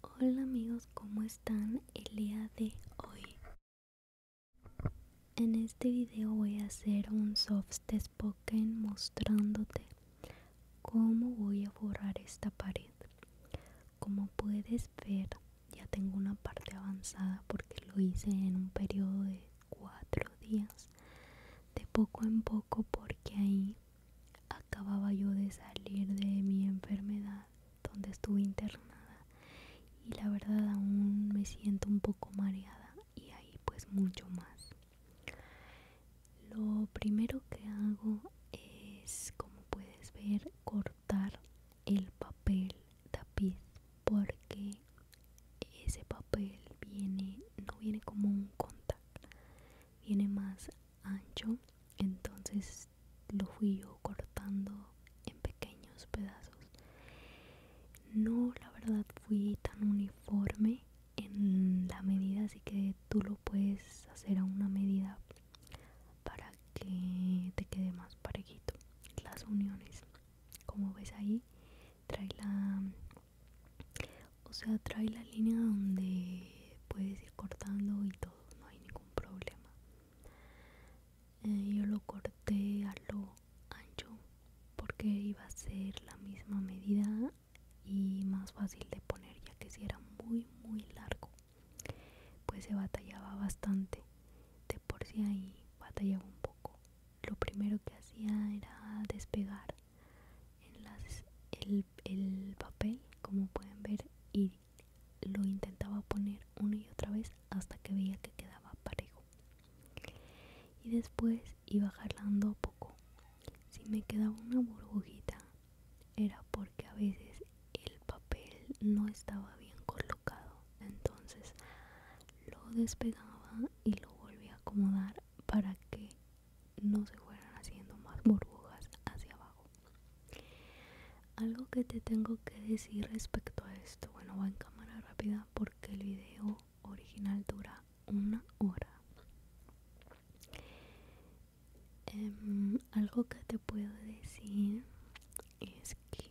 Hola amigos, ¿cómo están el día de hoy? En este video voy a hacer un soft Spoken mostrándote cómo voy a borrar esta pared. Como puedes ver, ya tengo una parte avanzada porque lo hice en un periodo de cuatro días, de poco en poco porque ahí Acababa yo de salir de mi enfermedad donde estuve internada y la verdad aún me siento un poco mareada y ahí pues mucho más. Lo primero que hago es, como puedes ver, cortar el papel tapiz porque ese papel viene no viene como un contact viene más ancho entonces lo fui yo cortando en pequeños pedazos no la verdad fui tan uniforme en la medida así que tú lo puedes hacer a una medida para que te quede más parejito las uniones como ves ahí trae la o sea trae la línea donde puedes ir cortando y todo no hay ningún problema eh, yo lo corté a lo ancho porque iba a ser la misma medida y más fácil de poner ya que si era muy muy largo pues se batallaba bastante de por sí ahí batallaba un poco lo primero que hacía era despegar en el, papel, como pueden ver, y lo intentaba poner una y otra vez hasta que veía que quedaba parejo. Y después iba jalando poco. Si me quedaba una burbujita, era porque a veces el papel no estaba bien colocado. Entonces lo despegaba y lo volvía a acomodar para que no se fueran haciendo más burbujas hacia abajo. Algo que te tengo que decir respecto a esto, bueno, va en cámara rápida porque el video original dura una hora. Em, algo que te puedo decir es que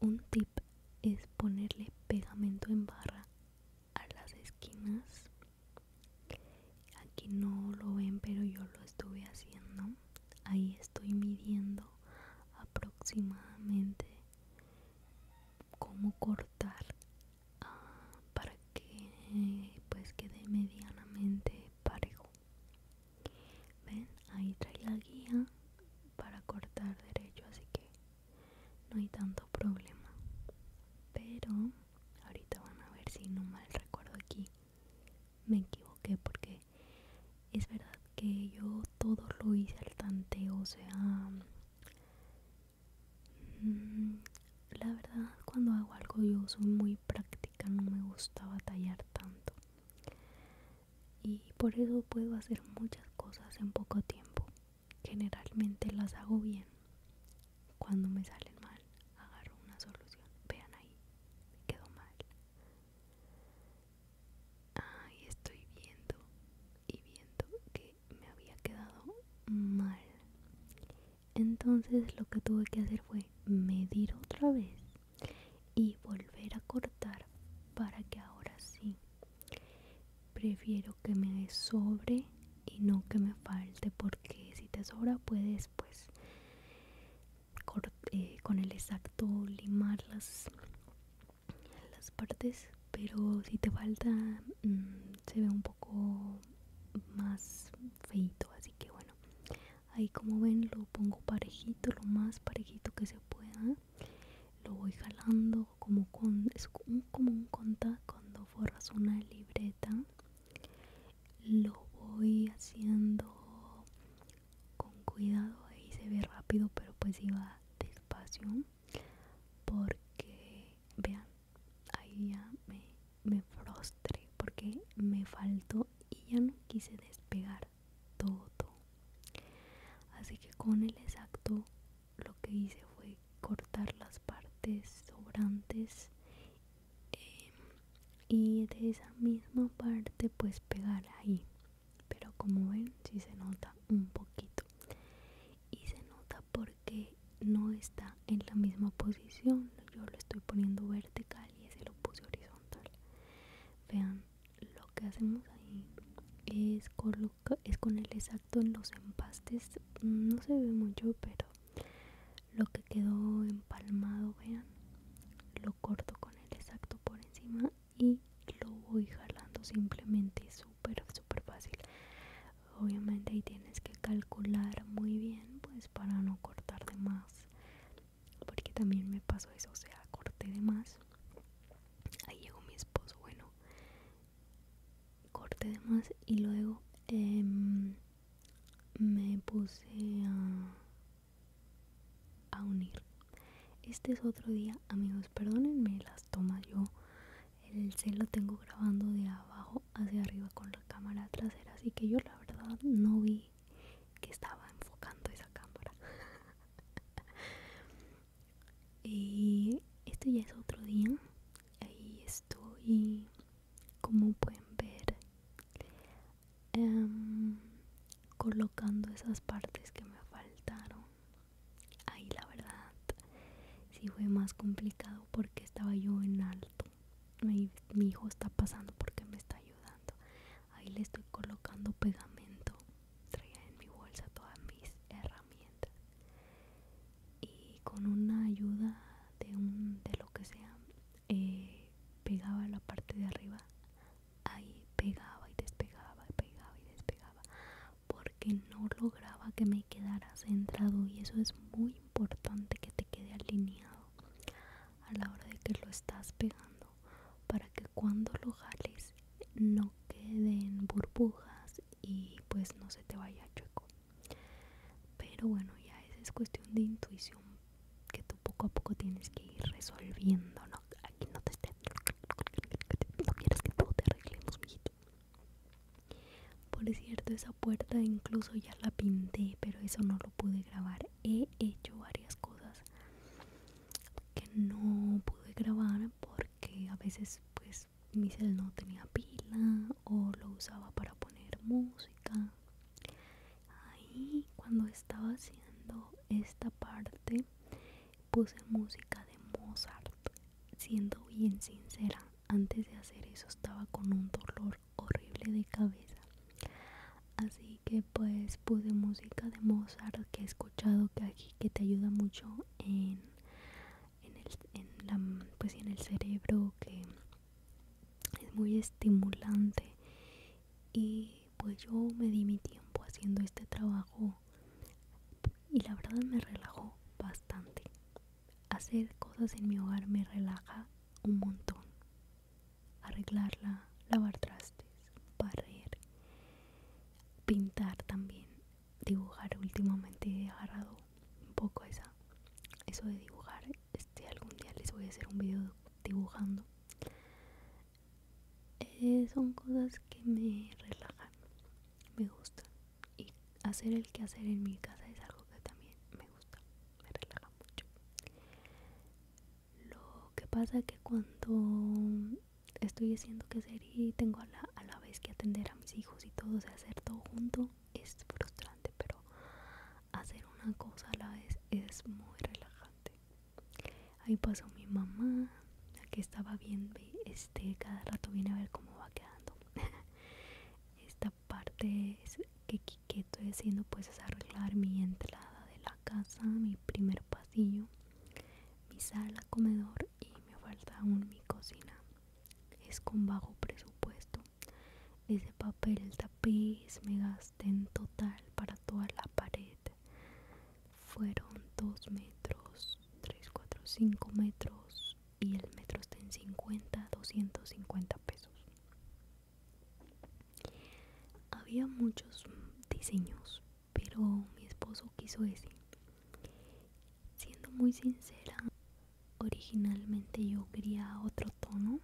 un tip es ponerle pegamento en barra a las esquinas aquí no lo ven pero yo lo estuve haciendo ahí estoy midiendo aproximadamente cómo cortar ah, para que pues quede medianamente parejo ven ahí trae la guía para cortar derecho así que no hay tanto problema pero ahorita van a ver si no mal recuerdo aquí me equivoqué porque es verdad que yo todo lo hice al tanteo o sea mm, la verdad cuando hago algo yo soy muy práctica no me gusta batallar tanto y por eso puedo hacer muchas cosas en poco tiempo. Generalmente las hago bien. Cuando me salen mal, agarro una solución. Vean ahí, me quedó mal. Ahí estoy viendo y viendo que me había quedado mal. Entonces lo que tuve que hacer fue medir otra vez y volver a cortar para que ahora sí prefiero que me sobre y no que me falte porque si te sobra puedes pues eh, con el exacto limar las, las partes pero si te falta mm, se ve un poco más feito así que bueno ahí como ven lo pongo parejito lo más parejito que se pueda lo voy jalando como con es como un conta cuando forras una libreta lo voy haciendo con cuidado ahí se ve rápido pero pues iba despacio porque vean ahí ya me, me frustré porque me faltó y ya no quise despegar todo. Así que con el exacto lo que hice fue cortar las partes sobrantes em, y de esa misma parte pues pegar ahí. Pero como ven, si se nota un poquito. Y se nota porque no está en la misma posición. Yo lo estoy poniendo vertical y ese lo puse horizontal. Vean lo que hacemos ahí es, coloca, es con el exacto en los empastes no se ve mucho pero lo que quedó empalmado vean lo corto con el exacto por encima y lo voy jalando simplemente súper súper fácil obviamente ahí tienes que calcular muy bien pues para no cortar de más porque también me pasó eso, o sea, corté de más. Ahí llegó mi esposo, bueno, corté de más y luego em, me puse a, unir. Este es otro día, amigos, perdónenme las tomas, yo el cel lo tengo grabando de abajo hacia arriba con la cámara trasera, así que yo la verdad no vi que, estaba enfocando esa cámara. y esto ya es otro día. Ahí estoy, como pueden ver, em, colocando esas partes que me faltaron. Ahí la verdad, sí fue más complicado porque estaba yo en alto. Ahí mi hijo está pasando porque me está ayudando ahí le estoy colocando pegamento traía en mi bolsa todas mis herramientas y con una ayuda de un de lo que sea eh, pegaba la parte de arriba ahí pegaba y despegaba y pegaba y despegaba porque no lograba que me quedara centrado y eso es muy importante que te quede alineado a la hora de que lo estás pegando para que cuando lo jales no queden burbujas y pues no se te vaya chueco pero bueno ya esa es cuestión de intuición que tú poco a poco tienes que ir resolviendo aquí no te no quieres que todo te arreglemos mijito por cierto esa puerta incluso ya la pinté pero eso no lo pude grabar he hecho varias cosas que no pude grabar porque a veces pues mi cel no tenía pila o lo usaba para poner música ahí cuando estaba haciendo esta parte puse música de Mozart siendo bien sincera antes de hacer eso estaba con un dolor horrible de cabeza así que pues puse música de Mozart que he escuchado que aquí que te ayuda mucho en, el, pues en el cerebro que es muy estimulante y pues yo me di mi tiempo haciendo este trabajo y la verdad me relajó bastante hacer cosas en mi hogar me relaja un montón arreglarla, lavar trastes, barrer, pintar también, dibujar. Últimamente he agarrado un poco esa, eso de dibujar. Este algún día les voy a hacer un video dibujando. Eh, son cosas que me relajan, me gustan. Y hacer el que hacer en mi casa es algo que también me gusta me relaja mucho lo que pasa que cuando estoy haciendo que hacer y tengo a la, vez que atender a mis hijos y todo, se hacer todo junto es frustrante, pero hacer una cosa a la vez es muy relajante. Ahí pasó mi mamá, que estaba bien, este, cada rato viene a ver cómo va quedando. Esta parte es que que estoy haciendo pues es arreglar mi entrada de la casa, mi primer pasillo, mi sala, comedor y me falta aún mi cocina. Es con bajo presupuesto. Ese papel, el tapiz, me gasté en total para toda la pared. Fueron 2 metros, 3, 4, 5 metros y el metro está en 50, 250 pesos. Había muchos diseños, pero mi esposo quiso ese. Siendo muy sincera, originalmente yo quería otro tono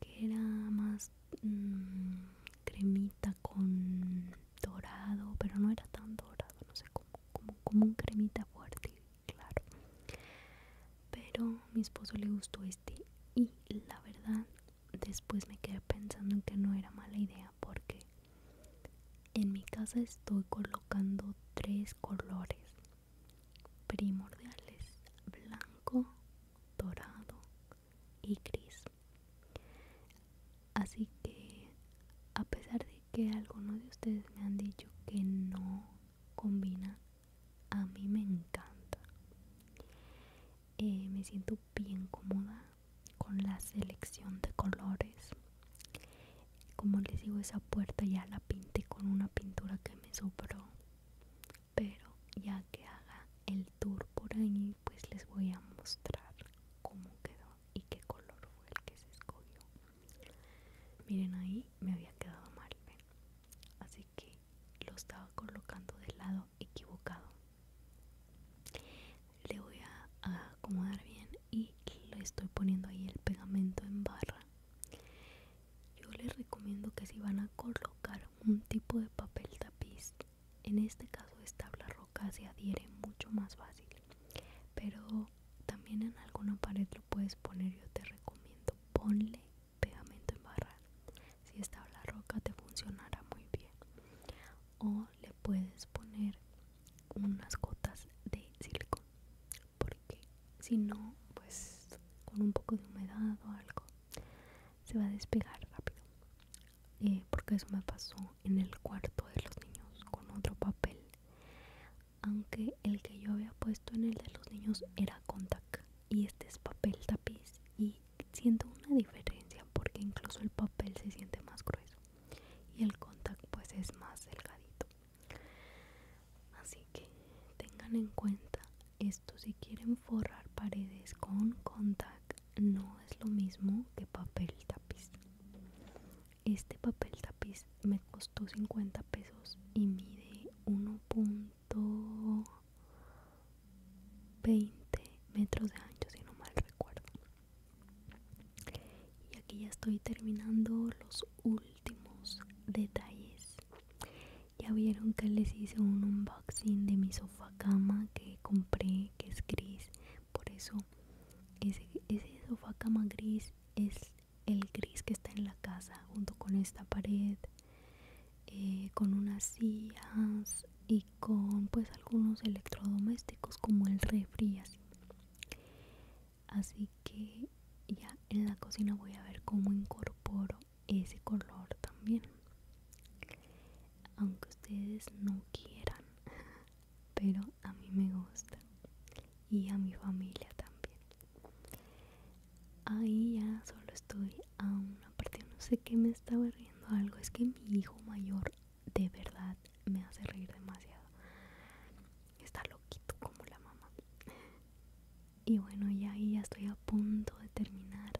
que era más mm, cremita con dorado, pero no era tan dorado, no sé, como, como un cremita fuerte claro pero mi esposo le gustó este y la verdad después me quedé pensando en que no era mala idea porque en mi casa estoy colocando tres colores primordiales blanco dorado y gris así que a pesar de que algunos de ustedes me han dicho que no combina, a mí me encanta. Eh, me siento bien cómoda con la selección de colores. Como les digo, esa puerta ya la pinté con una pintura que me sobró. Pero ya que haga el tour por ahí, pues les voy a mostrar cómo quedó y qué color fue el que se escogió. Miren ahí me había quedado mal, así que lo estaba colocando del lado equivocado. Le voy a, acomodar bien y le estoy poniendo ahí el pegamento en barra. Yo les recomiendo que si van a colocar un tipo de papel tapiz, en este caso esta tabla roca se adhiere mucho más fácil pero también en alguna pared lo puedes poner yo te recomiendo ponle pegamento en barra si esta la roca te funcionará muy bien o le puedes poner unas gotas de silicón porque si no pues con un poco de humedad o algo se va a despegar rápido eh, porque eso me pasó en el cuarto de los niños con otro papel aunque el que yo había puesto en el de los niños era contact y este es papel tapiz y siento una diferencia porque incluso el papel se siente más grueso y el contact pues es más delgadito así que tengan en cuenta esto si quieren forrar paredes con contact no es lo mismo que papel tapiz este papel tapiz me costó 50 pesos y mide 1.20 metros de ancho, si no mal recuerdo. Y aquí ya estoy terminando los últimos detalles. Ya vieron que les hice un unboxing de mi sofá cama que compré, que es gris por eso ese, sofá cama gris es el gris que está en la casa junto con esta pared eh, con unas sillas y con pues algunos electrodomésticos como el refri así que ya en la cocina voy a ver cómo incorporo ese color también aunque ustedes no quieran pero a mí me gusta y a mi familia también. Ahí ya solo estoy a una parte, no sé qué me estaba riendo algo, es que mi hijo mayor de verdad me hace reír demasiado. Está loquito como la mamá. Y bueno, ya ahí ya estoy a punto de terminar.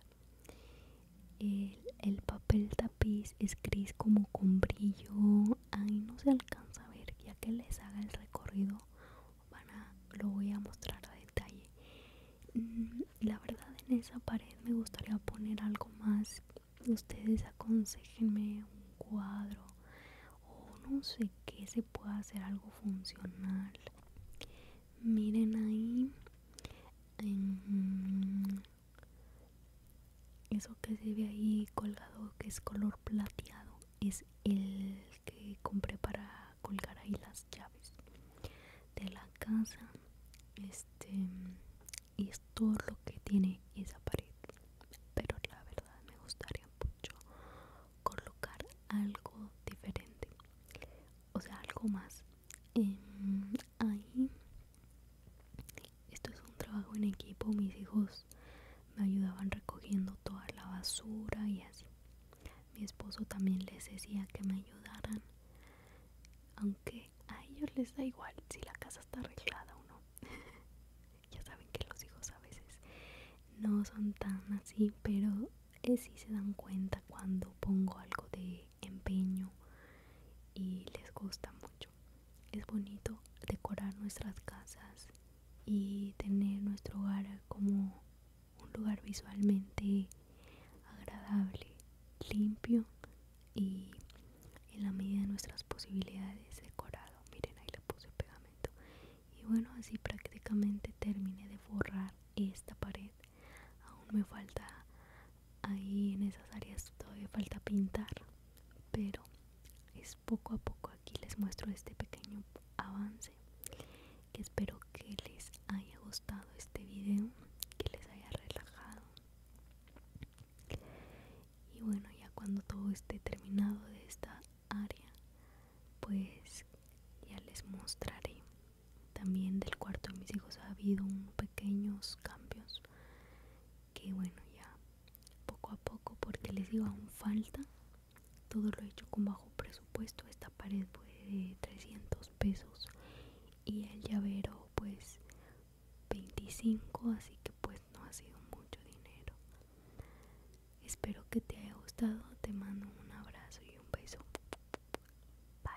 Eh, el papel tapiz es gris como con brillo ahí no se alcanza a ver ya que les haga el recorrido van a, lo voy a mostrar a detalle mm, la verdad en esa pared me gustaría poner algo más ustedes aconsejenme un cuadro o no sé qué se pueda hacer algo funcional miren ahí eso que se ve ahí colgado, que es color plateado, es el que compré para colgar ahí las llaves de la casa. Este, y es todo lo que tiene esa pared. Pero la verdad me gustaría mucho colocar algo diferente, o sea, algo más. Em, ahí esto es un trabajo en equipo, mis hijos me ayudaban recogiendo toda la basura y así. Mi esposo también les decía que me ayudaran, aunque a ellos les da igual si la casa está arreglada o no. ya saben que los hijos a veces no son tan así, pero eh, sí se dan cuenta cuando pongo algo de empeño y les gusta mucho. Es bonito decorar nuestras casas y tener nuestro hogar como un lugar visualmente agradable, limpio y en la medida de nuestras posibilidades decorado. Miren, ahí le puse pegamento. Y bueno, así prácticamente terminé de forrar esta pared. Aún me falta ahí en esas áreas todavía falta pintar pero es poco a poco aquí les muestro este pequeño avance que espero que les haya gustado este video que les haya relajado y bueno ya cuando todo esté terminado de esta área pues ya les mostraré también del cuarto de mis hijos ha habido pequeños cambios que bueno ya poco a poco porque les iba aún falta todo lo he hecho con bajo presupuesto esta pared fue de 300 pesos y el llavero pues 25 así que pues no ha sido mucho dinero espero que te haya gustado te mando un abrazo y un beso bye